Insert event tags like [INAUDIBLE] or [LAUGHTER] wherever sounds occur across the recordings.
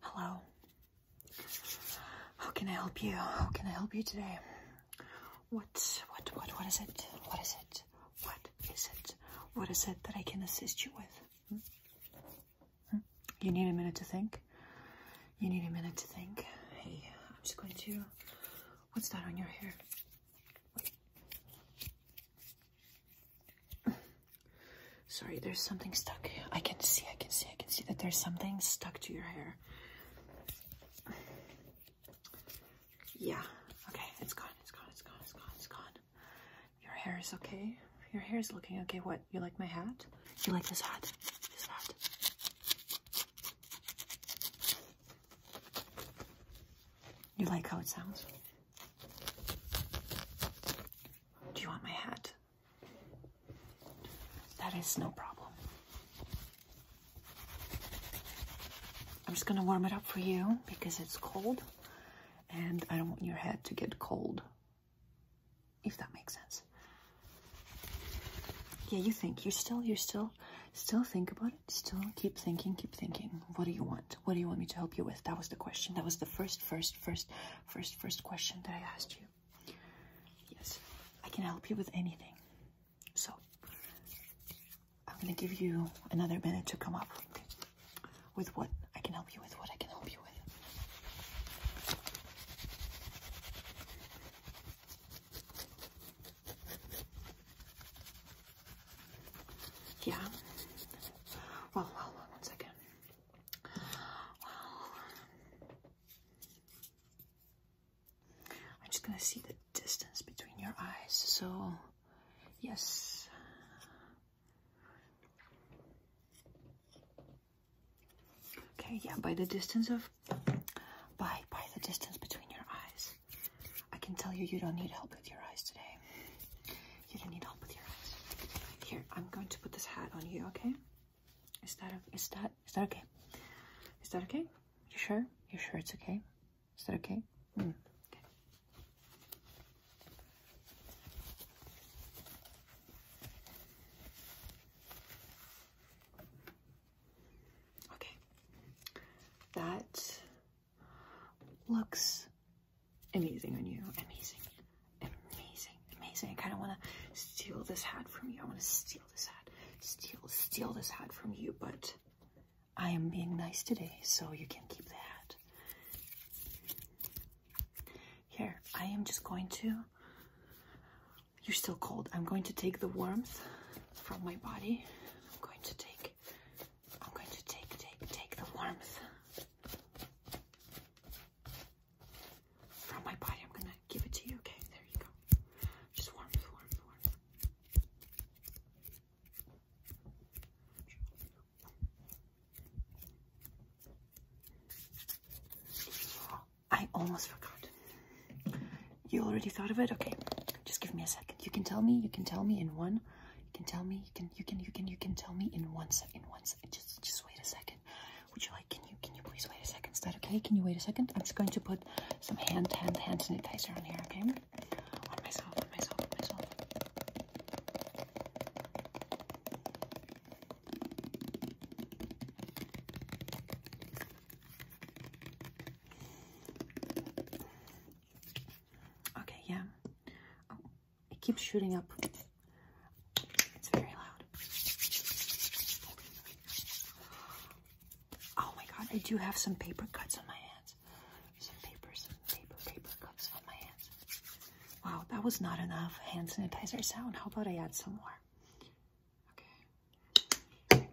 Hello. How can I help you? How can I help you today? What, what, what, what is it? What is it? What is it? What is it that I can assist you with? Hmm? Hmm? You need a minute to think? You need a minute to think. Hey, I'm just going to What's that on your hair? Sorry, there's something stuck. I can see, I can see, I can see that there's something stuck to your hair. Yeah. Okay, it's gone, it's gone, it's gone, it's gone, it's gone. Your hair is okay. Your hair is looking okay. What? You like my hat? You like this hat? This hat. You like how it sounds? Do you want my hat? That is no problem. I'm just going to warm it up for you because it's cold and I don't want your head to get cold, if that makes sense. Yeah, you think. You still, you still, still think about it. Still keep thinking, keep thinking. What do you want? What do you want me to help you with? That was the question. That was the first, first, first, first, first question that I asked you. Yes, I can help you with anything. So, I'm gonna give you another minute to come up with what I can help you with, what I can help you with. Yeah. Well, well, well, one second. Well, I'm just gonna see the distance between your eyes. So, yes. Okay, yeah, by the distance of by by the distance between your eyes. I can tell you you don't need help with your eyes today. You don't need help with your eyes. Here, I'm going to put this hat on you, okay? Is that is that is that okay? Is that okay? You sure? You sure it's okay? Is that okay? Mm. okay. Okay, that looks amazing on you. Amazing, amazing, amazing. I kind of want to steal this hat from you. I want to steal this hat, steal, steal this hat from you. But I am being nice today, so you can keep the hat. Here, I am just going to you're still cold. I'm going to take the warmth from my body. I'm going to take I'm going to take take take the warmth from my body. I'm gonna give it to you. Okay, there you go. Just warmth, warmth, warmth. I almost forgot. You already thought of it? Okay. Just give me a second. You can tell me, you can tell me in one. You can tell me, you can you can you can you can tell me in one second. In one second. Just just wait a second. Would you like can you can you please wait a second? Is that okay? Can you wait a second? I'm just going to put some hand hand hand sanitizer on here, okay? On myself, on myself, on myself. Okay, yeah. Oh, it keeps shooting up. It's very loud. Oh my god, I do have some paper cuts on my hands. Some paper, some paper, paper cuts on my hands. Wow, that was not enough hand sanitizer sound. How about I add some more? Okay.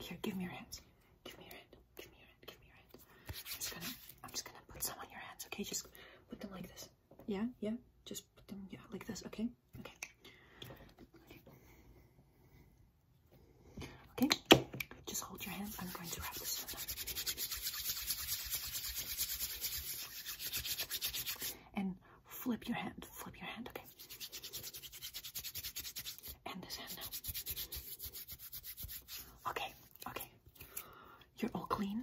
Here, give me your hands. Give me your hand. Give me your hand. Give me your hand. I'm just gonna I'm just gonna put some on your hands, okay? Just put them like this. Yeah, yeah. Just put them yeah, like this, okay? Okay. Okay. Just hold your hand. I'm going to wrap this up. And flip your hand. Flip your hand. Okay. And this hand now. Okay. Okay. You're all clean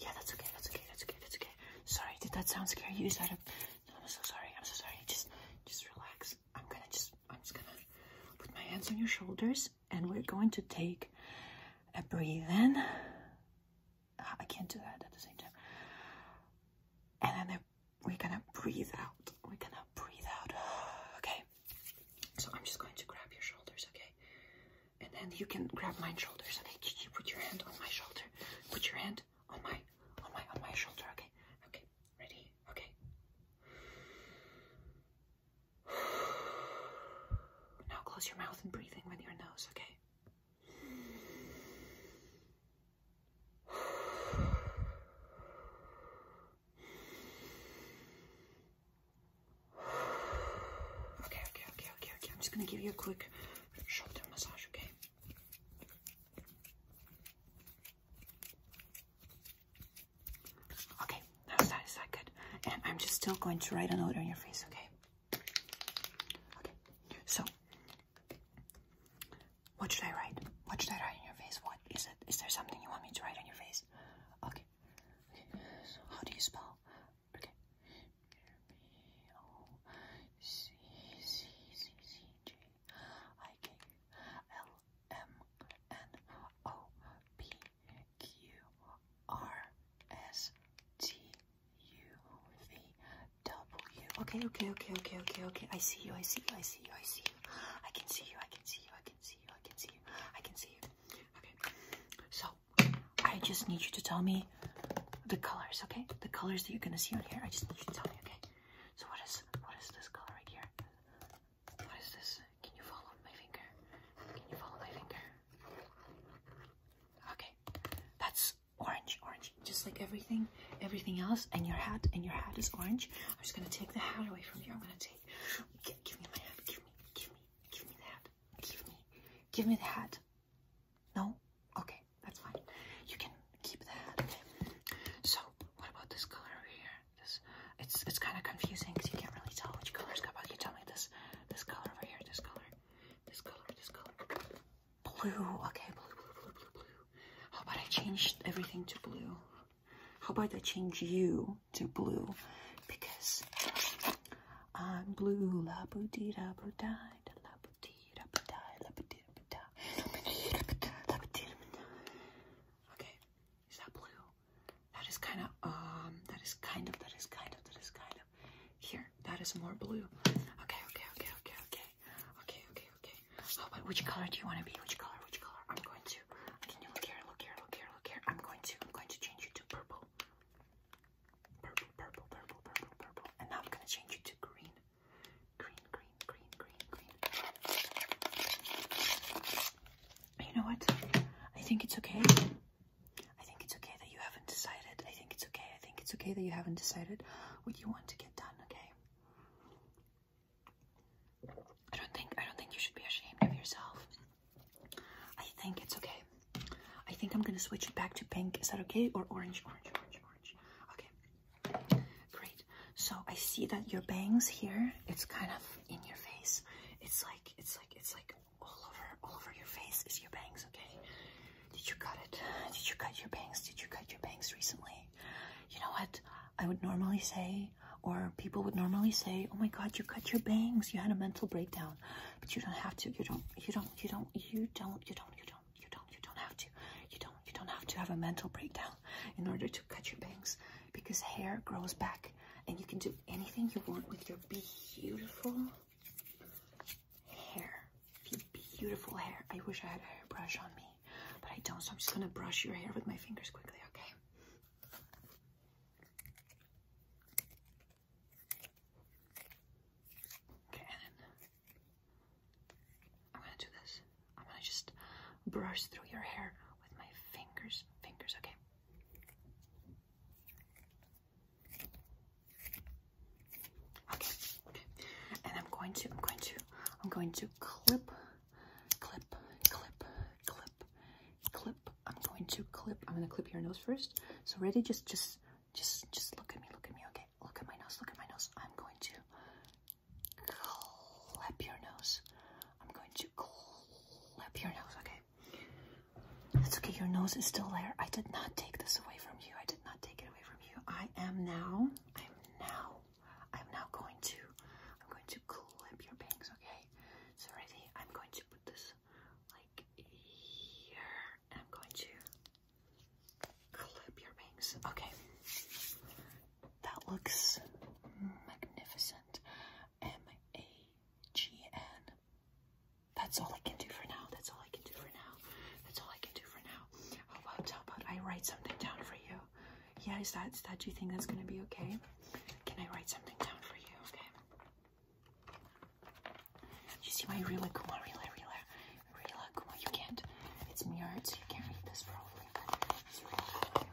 Yeah, that's okay, that's okay, that's okay, that's okay. Sorry, did that sound scary? You just had a I'm so sorry, I'm so sorry. Just just relax. I'm gonna just I'm just gonna put my hands on your shoulders and we're going to take a breathe in. Ah, I can't do that at the same time. And then we're gonna breathe out. We're gonna breathe out. [SIGHS] Okay. So I'm just going to grab your shoulders, okay? And then you can grab my shoulders, And Can you put your hand on my shoulder? Put your hand on my on my on my shoulder, okay? Okay, ready? Okay. Now close your mouth and breathing in with your nose, okay? Okay, okay, okay, okay, okay. I'm just gonna give you a quick shoulder massage, okay? Okay, now that is that good. And I'm just still going to write a note on your face, okay? Okay, so what should I write? What should I write on your face? What is it? Is there something you want me to write on your face? Okay. okay. So how do you spell? Okay. B O C C C C J I K L M N O P Q R S T U V W. Okay, okay, okay, okay, okay, okay. I see you. I see you. I see you. I see you. I can see you. I can see you. I can see. I can see you. I can see you. Okay. So I just need you to tell me the colors, okay? The colors that you're gonna see on here. I just need you to tell me, okay? So what is what is this color right here? What is this? Can you follow my finger? Can you follow my finger? Okay. That's orange, orange. Just like everything, everything else, and your hat, and your hat is orange. I'm just gonna take the hat away from you. I'm gonna take okay. Give, give me my hat. Give me, give me, give me the hat. Give me, give me the hat. No? Okay, that's fine. You can keep the hat. Okay. So, what about this color over here? This it's it's kind of confusing because you can't really tell which color is about. You tell me this this color over here, this color, this color, this color. Blue. Okay, blue, blue, blue, blue, blue. How about I changed everything to blue? How about I change you to blue? Because I'm blue, la budida, brudida, la budida, budida, la budida, budida, la budida, Okay, is that blue? That is kind of, um, that is kind of, that is kind of, that is kind of. Here, that is more blue. Okay, okay, okay, okay, okay, okay, okay, okay. How oh, about which color do you want to be? Which color? Which color? I'm going to. look here? Look here. Look here. Look here. I'm going to. I'm going to change you to purple. Purple. Purple. Purple. Purple. Purple. And now I'm gonna change you to green. Green. Green. Green. Green. Green. You know what? I think it's okay. I think it's okay that you haven't decided. I think it's okay. I think it's okay that you haven't decided what you want to get done. Okay. I don't think I don't think you should be ashamed of yourself. I think it's okay. I think I'm gonna switch it back to pink. Is that okay? Or orange, orange, orange, orange. Okay. Great. So I see that your bangs here, it's kind of in your face. It's like it's like it's like all over all over your face It's your bangs, okay? Did you cut it? Did you cut your bangs? Did you cut your bangs recently? you know what I would normally say, or people would normally say, "Oh my God, you cut your bangs! You had a mental breakdown." But you don't have to. You don't. You don't. You don't. You don't. You don't. You don't. You don't. You don't have to. You don't. You don't have to have a mental breakdown in order to cut your bangs, because hair grows back, and you can do anything you want with your beautiful hair. Beautiful hair. I wish I had a hairbrush on me but I don't, so I'm just gonna brush your hair with my fingers quickly, okay? Okay, and then I'm gonna do this. I'm gonna just brush through your hair with my fingers, fingers, okay? Okay, and I'm going to, I'm going to, I'm going to clip, clip, clip, clip, clip. I'm going to clip. I'm gonna clip your nose first. So ready? Just, just, just, just look at me. Look at me. Okay. Look at my nose. Look at my nose. I'm going to clip your nose. I'm going to clip your nose. Okay. That's okay. Your nose is still there. I did not take this away from you. I did not take it away from you. I am now. I am now I'm now going to I'm going to clip your bangs, okay? So ready? I'm going to put this like here I'm going to clip your bangs. Okay. That looks magnificent. M-A-G-N. That's all I can do for now. That's all I can do for now. That's all I can do for now. How oh, about how about I write something down for you? Yeah, is that is that do you think that's gonna be okay? Can I write something down for you? Okay. You see my Rila Kuma, Rila, Rila, Rila Kuma. You can't. It's mirrored, so you can't read this probably. But it's really cool.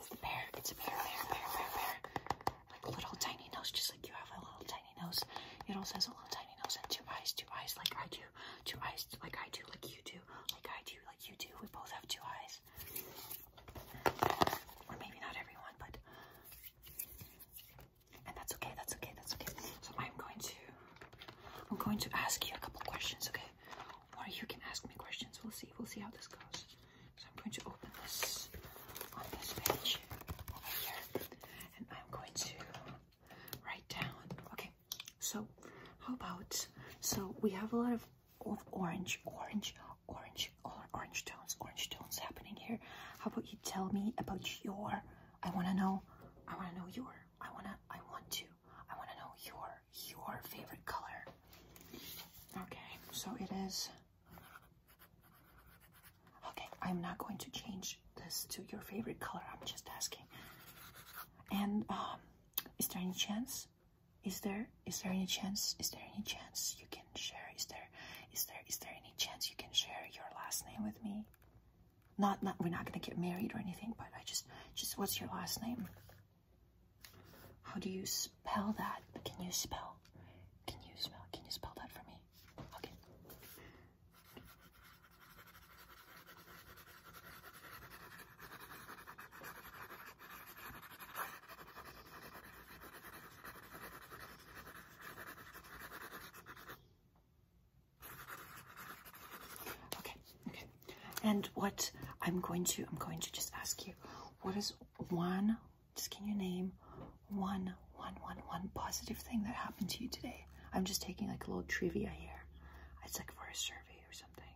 It's a bear. It's a bear, bear, bear, bear, bear. Like a little tiny nose, just like you have a little tiny nose. It also has a little tiny nose and two eyes, two eyes like I do two eyes like I do, like you do, like I do, like you do. We both have two eyes. Or maybe not everyone, but and that's okay, that's okay, that's okay. So I'm going to I'm going to ask you a couple questions, okay? Or you can ask me questions. We'll see, we'll see how this goes. So I'm going to open this on this page over here, and I'm going to write down. Okay, so how about so we have a lot of, orange, orange, orange, or orange tones, orange tones happening here. How about you tell me about your? I want to know. I want to know your. I wanna. I want to. I want to know your your favorite color. Okay, so it is. Okay, I'm not going to change this to your favorite color? I'm just asking. And um, is there any chance? Is there is there any chance? Is there any chance you can share? Is there is there is there any chance you can share your last name with me? Not not we're not gonna get married or anything, but I just just what's your last name? How do you spell that? Can you spell? Can you spell? Can you spell that for me? Okay. Okay. Okay. And what I'm going to I'm going to just ask you what is one just can you name one one one one one positive thing that happened to you today. I'm just taking like a little trivia here. It's like for a survey or something.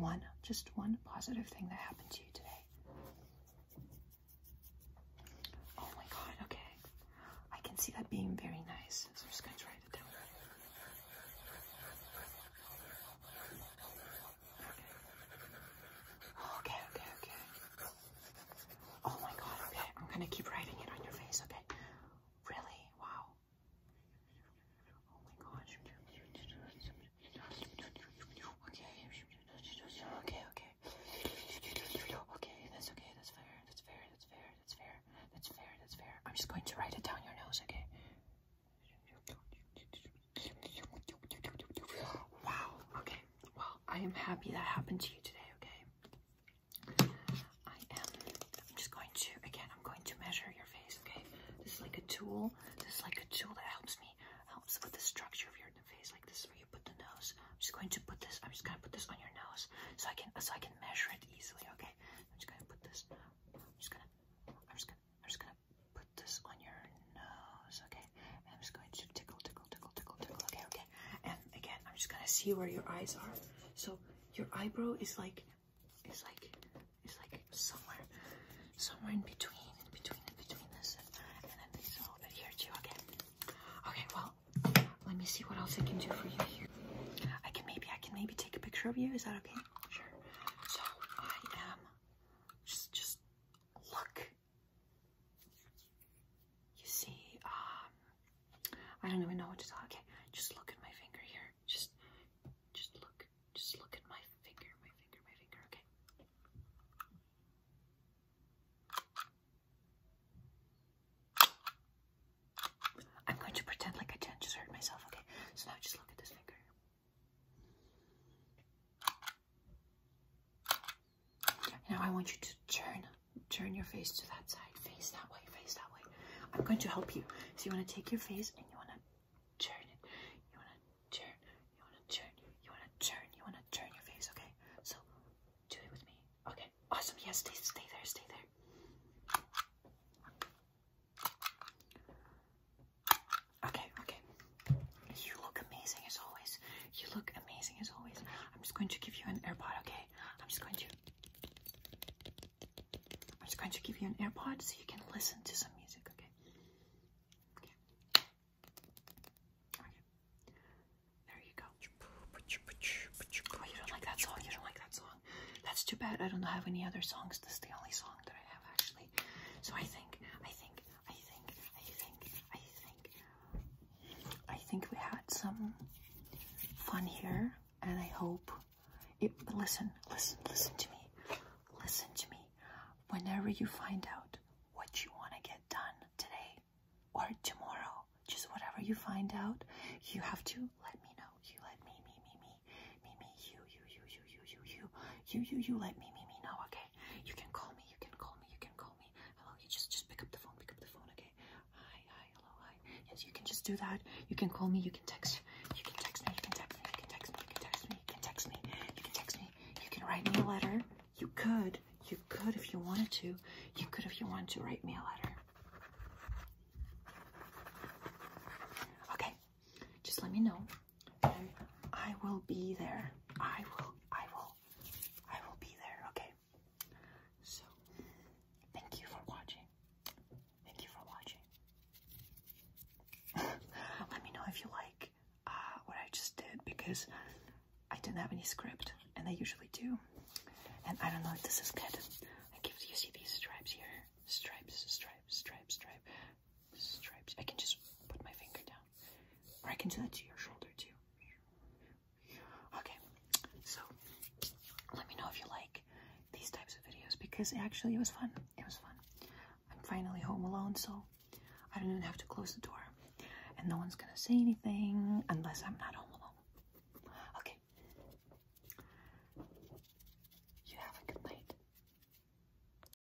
One, just one positive thing that happened to you today. Oh my god, okay. I can see that being very nice. So I'm just going to write it down. Okay, okay, okay. okay. Oh my god, okay. I'm gonna keep writing it on your face, okay? Really? Wow. Oh my gosh. Okay. Okay, okay. Okay, that's okay, that's fair, that's fair, that's fair, that's fair, that's fair, that's fair. I'm just going to write it down your nose, okay? Wow, okay well, I am happy that happened to you today, okay? I am, I'm just going to, again, I'm going to measure your face, okay? This is like a tool, this is like a tool that helps me, helps with the structure of your face, like this is where you put the nose. I'm just going to put this, I'm just gonna put this on your nose so I can, so I can measure it easily, okay? I'm just gonna put this, I'm just gonna, I'm just gonna, I'm just gonna put this on your nose, okay? I'm just going to tickle, tickle, tickle, tickle, tickle. Okay, okay. And again, I'm just gonna see where your eyes are. So your eyebrow is like, is like, is like somewhere, somewhere in between, in between, in between this, and, and then this a little bit here Okay. Well, let me see what else I can do for you here. I can maybe, I can maybe take a picture of you. Is that okay? Sure. So I am just, just look you see, um, I don't even know what to talk. Okay, just look at my finger here. Just, just look, just look at my finger, my finger, my finger. Okay. I'm going to pretend like I didn't just hurt myself. Okay, so now just look at this finger. Now I want you to turn, turn your face to that side, face that way, face that way. I'm going to help you. So you want to take your face and you want to turn it. You want to turn, you want to turn, you want to turn, you want to turn your face, okay? So do it with me. Okay, awesome. Yes, stay, stay there, stay there. Okay, okay. You look amazing as always. You look amazing as always. I'm just going to give you an AirPod, okay? I'm just going to. I'm just going to give you an AirPod so you can listen to some music, okay? Okay. There you go. Oh, you don't like that song? You don't like that song? That's too bad. I don't have any other songs. This is the only song that I have actually. So I think I think I think, I think, I think, I think we had some fun here, and I hope. listen, listen, listen to me. Listen to me. Whenever you find out what you want to get done today or tomorrow, just whatever you find out, you have to let me know. You let me, me, me, me, me, me, you, you, you, you, you, you, you, you, you, you, let me, me, me know, okay? okay? You can call me, you can call me, you can call me. Hello, you just just pick up the phone, pick up the phone, okay? Hi, hi, hello, hi. Yes, you can just do that. You can call me, you can text, you can text me, you can text me, you can text me, you can text me, you can text me, you can text me, you can write me a letter. You could, you could if you wanted to. You could if you wanted to write me a letter. Okay, just let me know. I will be there. I will, I will, I will be there, okay? So, thank you for watching. Thank you for watching. [LAUGHS] Let me know if you like uh, what I just did because I didn't have any script and I usually do. And I don't know if this is good. I give you see these stripes here. Stripes, stripes, stripes, stripes, stripes. I can just put my finger down. I can do that to your shoulder too. Okay, so let me know if you like these types of videos because actually it was fun. It was fun. I'm finally home alone, so I don't even have to close the door. And no one's gonna say anything unless I'm not home alone. Okay. You have a good night.